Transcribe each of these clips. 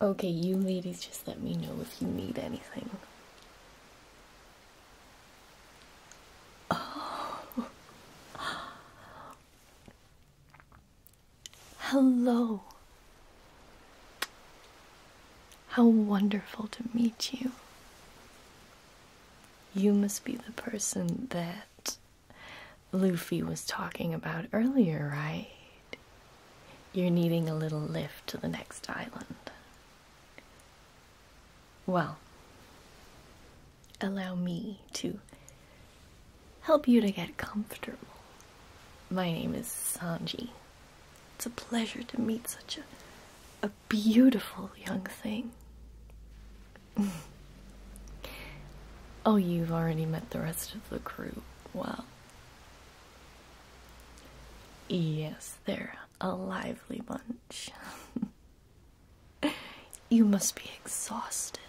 Okay, you ladies just let me know if you need anything. Oh. Hello. How wonderful to meet you. You must be the person that Luffy was talking about earlier, right? You're needing a little lift to the next island. Well, allow me to help you to get comfortable. My name is Sanji. It's a pleasure to meet such a, beautiful young thing oh, you've already met the rest of the crew. Well, Yes, they're a lively bunch. you must be exhausted.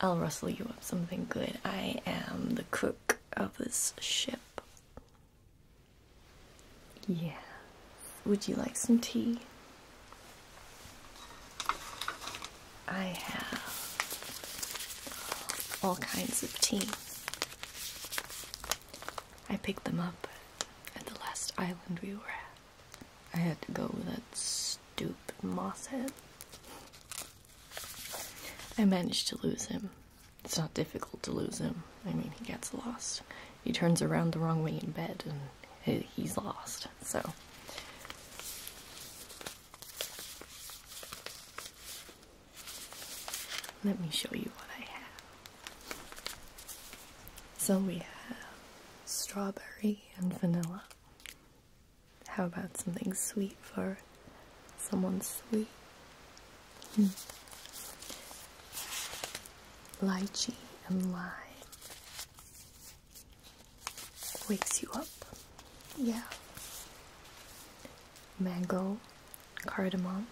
I'll rustle you up something good. I am the cook of this ship. Yeah, Would you like some tea? I have all kinds of tea. I picked them up at the last island we were at. I had to go with that stupid moss head. I managed to lose him. It's not difficult to lose him. I mean, he gets lost. He turns around the wrong way in bed and he's lost. So. Let me show you what I have. So we have strawberry and vanilla. How about something sweet for someone sweet? Hmm. Lychee and lime wakes you up. Yeah. Mango, cardamom.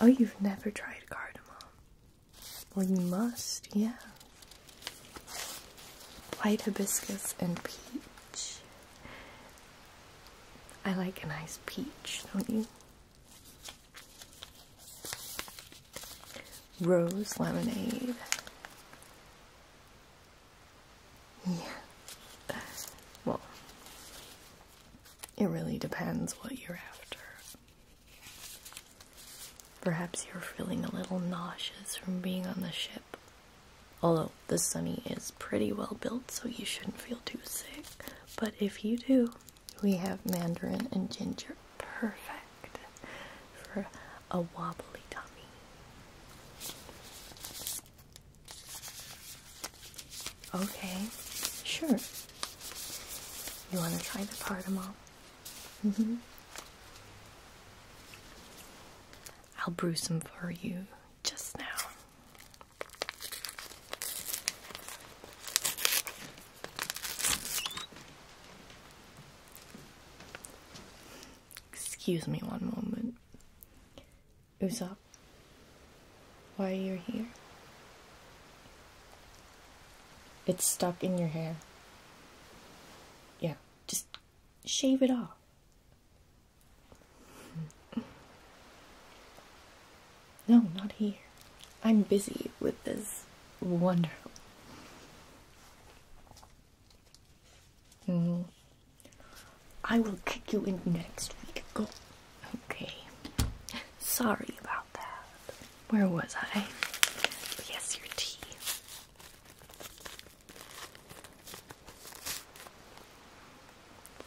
Oh, you've never tried cardamom. Well, you must, yeah. White hibiscus and peach. I like a nice peach, don't you? Rose lemonade. Yeah. Well, it really depends what you're after. Perhaps you're feeling a little nauseous from being on the ship. Although the Sunny is pretty well built, so you shouldn't feel too sick. But if you do, we have mandarin and ginger. Perfect for a wobbly tummy. Okay, sure. You want to try the cardamom? Mm hmm. I'll brew some for you just now. Excuse me one moment. Usopp, why are you here? It's stuck in your hair. Yeah, just shave it off. No, not here. I'm busy with this wonderful. Mm-hmm. I will kick you in next week. Go. Okay. Sorry about that. Where was I? Yes, your tea.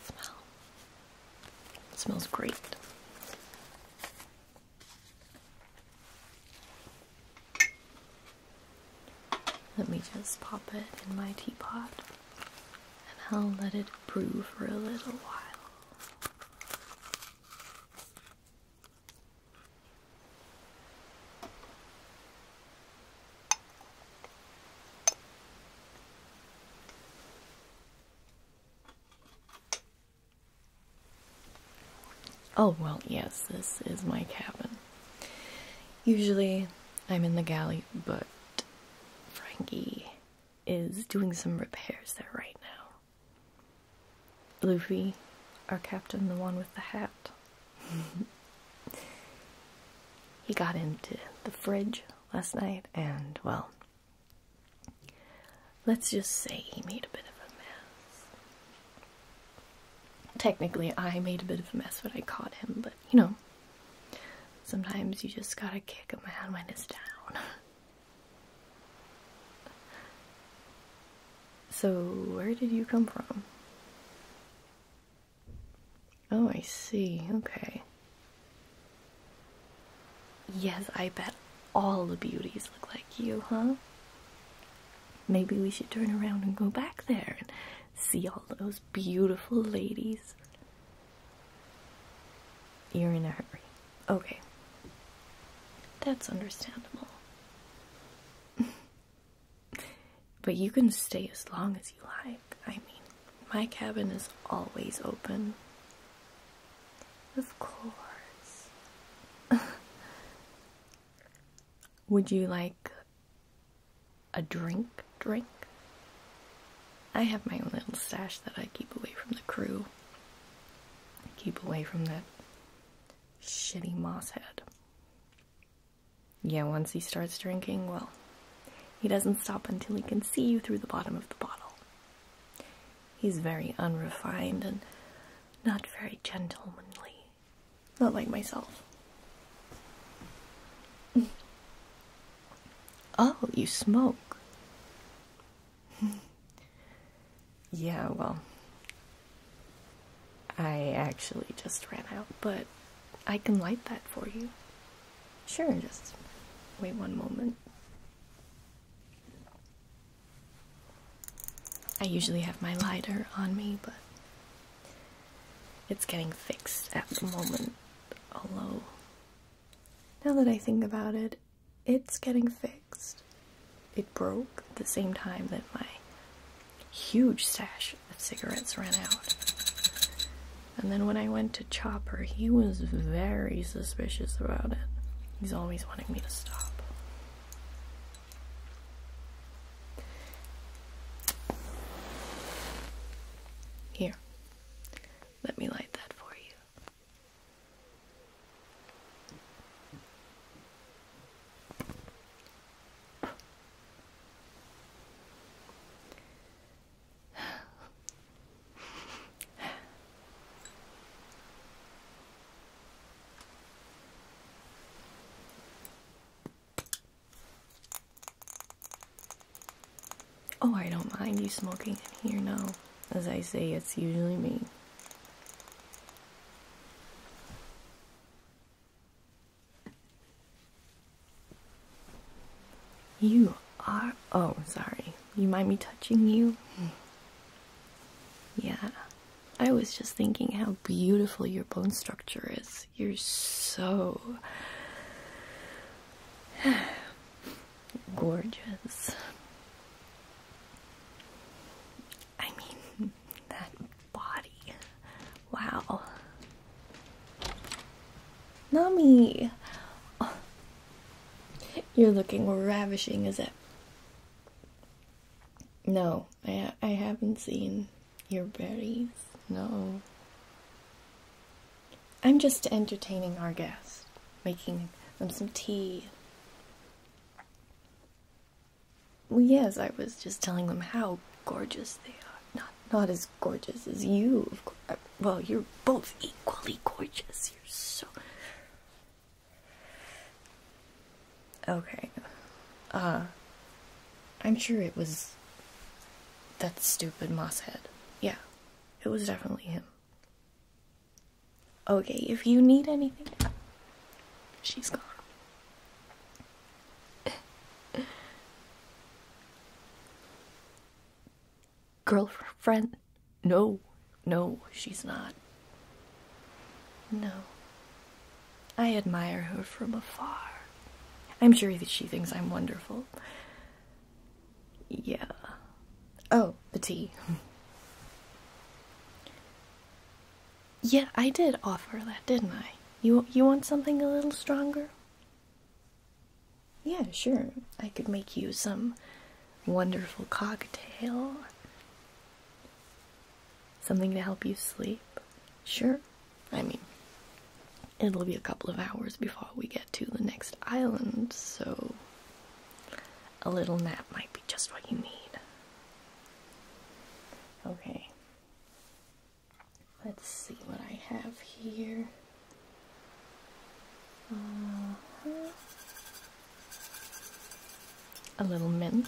Smell smells great. Let me just pop it in my teapot and I'll let it brew for a little while. Oh, well, yes, this is my cabin. Usually I'm in the galley, but Frankie is doing some repairs there right now. Luffy, our captain, the one with the hat, he got into the fridge last night, and well, let's just say he made a bit of a mess. Technically, I made a bit of a mess when I caught him, but you know, sometimes you just gotta kick a man when he's down. So, where did you come from? Oh, I see. Okay. Yes, I bet all the beauties look like you, huh? Maybe we should turn around and go back there and see all those beautiful ladies. You're in a hurry. Okay. That's understandable. But you can stay as long as you like. I mean, my cabin is always open. Of course. Would you like a drink? Drink? I have my own little stash that I keep away from the crew. keep away from that shitty moss head. Yeah, once he starts drinking, well, he doesn't stop until he can see you through the bottom of the bottle. He's very unrefined and not very gentlemanly. Not like myself. oh, you smoke. yeah, well, I actually just ran out, but I can light that for you. Sure, just wait one moment. I usually have my lighter on me, but it's getting fixed at the moment. Although, now that I think about it, it's getting fixed. It broke at the same time that my huge stash cigarettes ran out. And then when I went to Chopper, he was very suspicious about it. He's always wanting me to stop. Here, let me light that for you. Oh, I don't mind you smoking in here No, As I say, it's usually me. You are. Oh, sorry. You mind me touching you? Hmm. Yeah. I was just thinking how beautiful your bone structure is. You're so. gorgeous. I mean, that body. Wow. Nami! You're looking ravishing is it. No, I, I haven't seen your berries. No. I'm just entertaining our guests, making them some tea. Yes, I was just telling them how gorgeous they are. Not not as gorgeous as you. Uh, well, you're both equally gorgeous. You're so Okay. Uh I'm sure it was that stupid moss head. Yeah. It was definitely him. Okay, if you need anything, she's gone. Girlfriend? No, no, she's not. No. I admire her from afar. I'm sure that she thinks I'm wonderful. Yeah. Oh, the tea. Yeah, I did offer that, didn't I? You you want something a little stronger? Yeah, sure. I could make you some wonderful cocktail. Something to help you sleep. Sure. I mean, it'll be a couple of hours before we get to the next island, so a little nap might be just what you need. Okay. Let's see what I have here. Uh-huh. A little mint.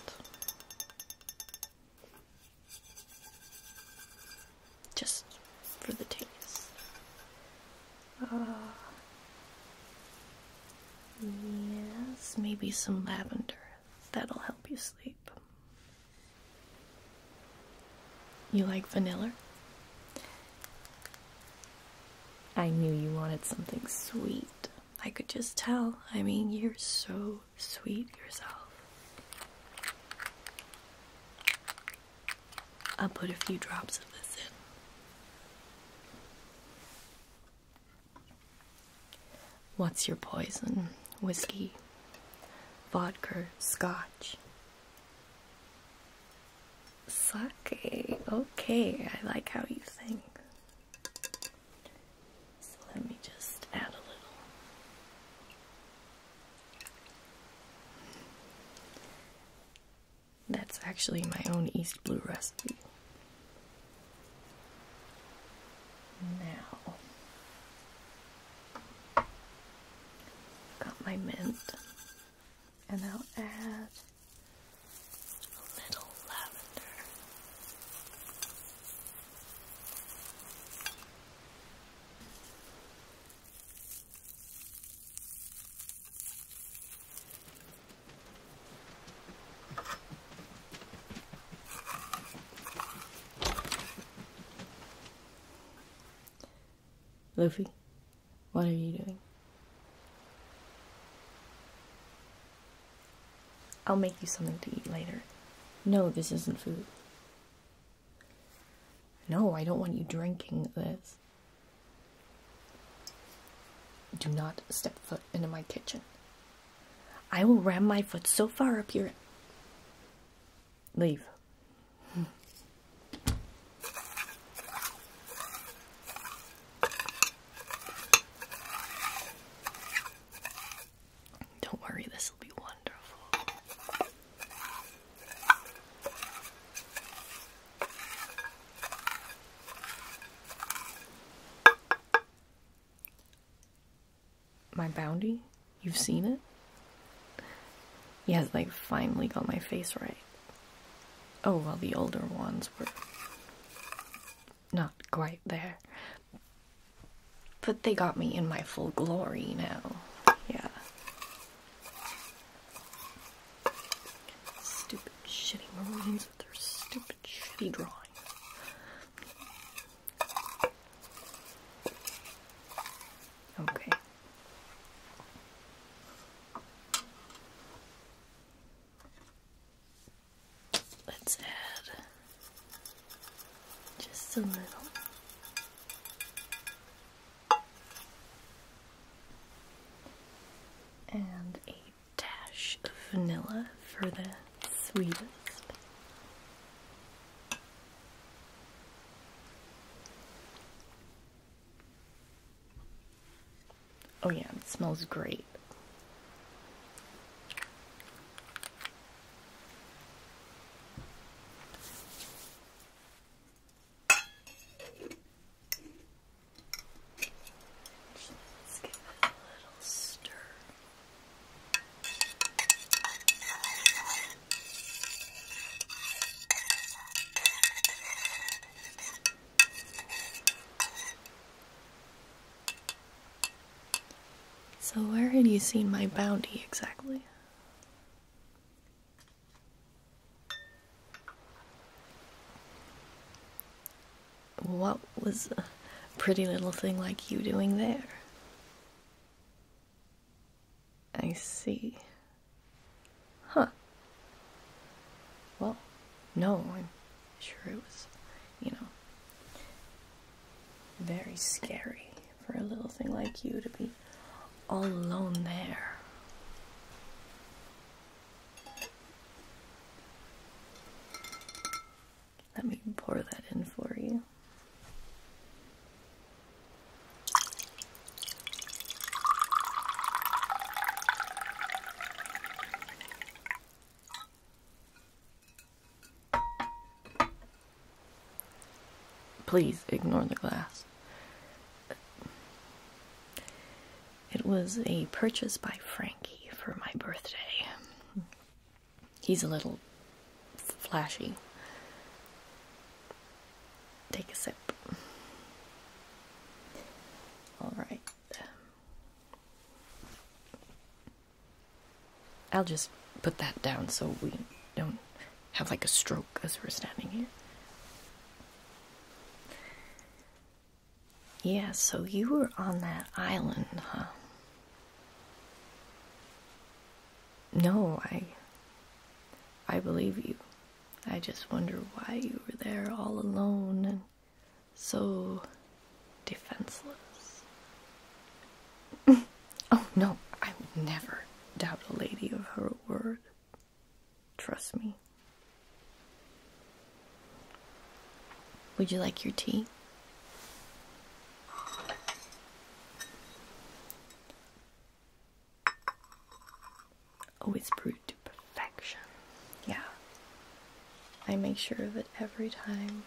Just for the taste. Ah, yes, maybe some lavender. That'll help you sleep. You like vanilla? I knew you wanted something sweet. I could just tell. I mean, you're so sweet yourself. I'll put a few drops of this in. What's your poison? Whiskey, vodka, scotch. Sake. Okay, I like how you think. let me just add a little. That's actually my own East Blue recipe. Now, got my mint, and I'll add a little lavender. Luffy, what are you doing? I'll make you something to eat later. No, this isn't food. No, I don't want you drinking this. Do not step foot into my kitchen. I will ram my foot so far up your. Leave. Don't worry, this will be wonderful. My bounty? You've seen it? Yes, I finally got my face right. Oh, well, the older ones were not quite there. But they got me in my full glory now. Yeah. Stupid, shitty Marines with their stupid, shitty drawing. Okay. Let's add just a little. And a dash of vanilla for the sweetest. Oh, yeah, it smells great. Let's give it a little stir. So, where had you seen my bounty exactly? What was a pretty little thing like you doing there? I see. Huh. Well, no, I'm sure it was, you know, very scary for a little thing like you to be all alone there. Let me pour that in for you. Please ignore the glass. It was a purchase by Frankie for my birthday. He's a little flashy. Take a sip. All right. I'll just put that down so we don't have like a stroke as we're standing here. Yeah, so you were on that island, huh? No, I I believe you. I just wonder why you were there all alone and so defenseless. oh no, I would never doubt a lady of her word. Trust me, would you like your tea? Oh, brewed to perfection. Yeah. I make sure of it every time.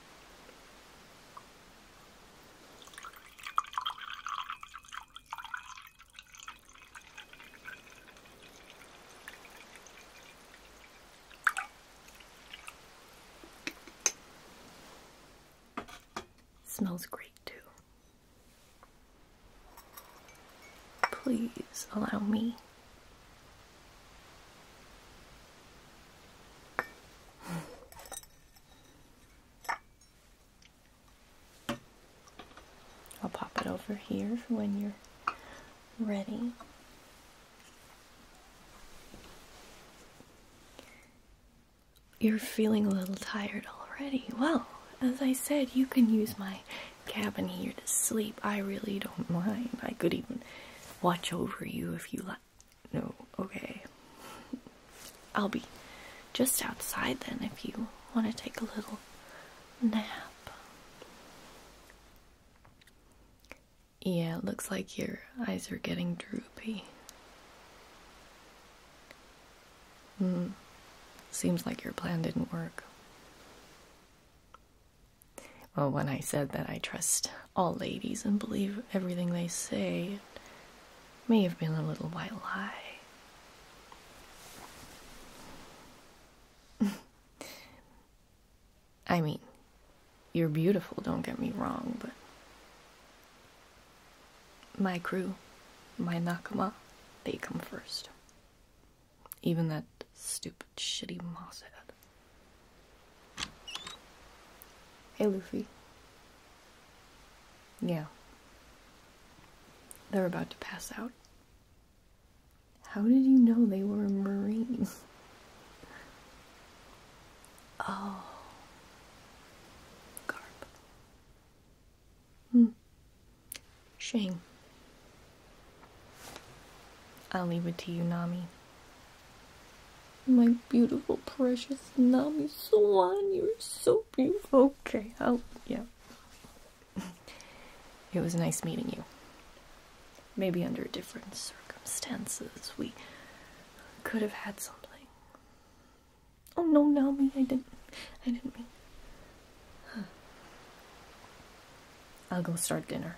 Smells great too. Please allow me. I'll pop it over here for when you're ready. You're feeling a little tired already. Well, as I said, you can use my cabin here to sleep. I really don't mind. I could even watch over you if you like. No, okay. I'll be just outside then if you want to take a little nap. Yeah, looks like your eyes are getting droopy. Hmm. Seems like your plan didn't work. Well, when I said that I trust all ladies and believe everything they say, it may have been a little white lie. I mean, you're beautiful, don't get me wrong, but my crew, my nakama, they come first. Even that stupid, shitty moss head. Hey, Luffy. Yeah. They're about to pass out. How did you know they were Marines? Oh, garp. Hmm. Shang. I'll leave it to you, Nami. My beautiful, precious Nami Solan, you're so beautiful. Okay, I'll, yeah it was nice meeting you. Maybe under different circumstances we could have had something. Oh no, Naomi, I didn't. I didn't mean. I'll go start dinner.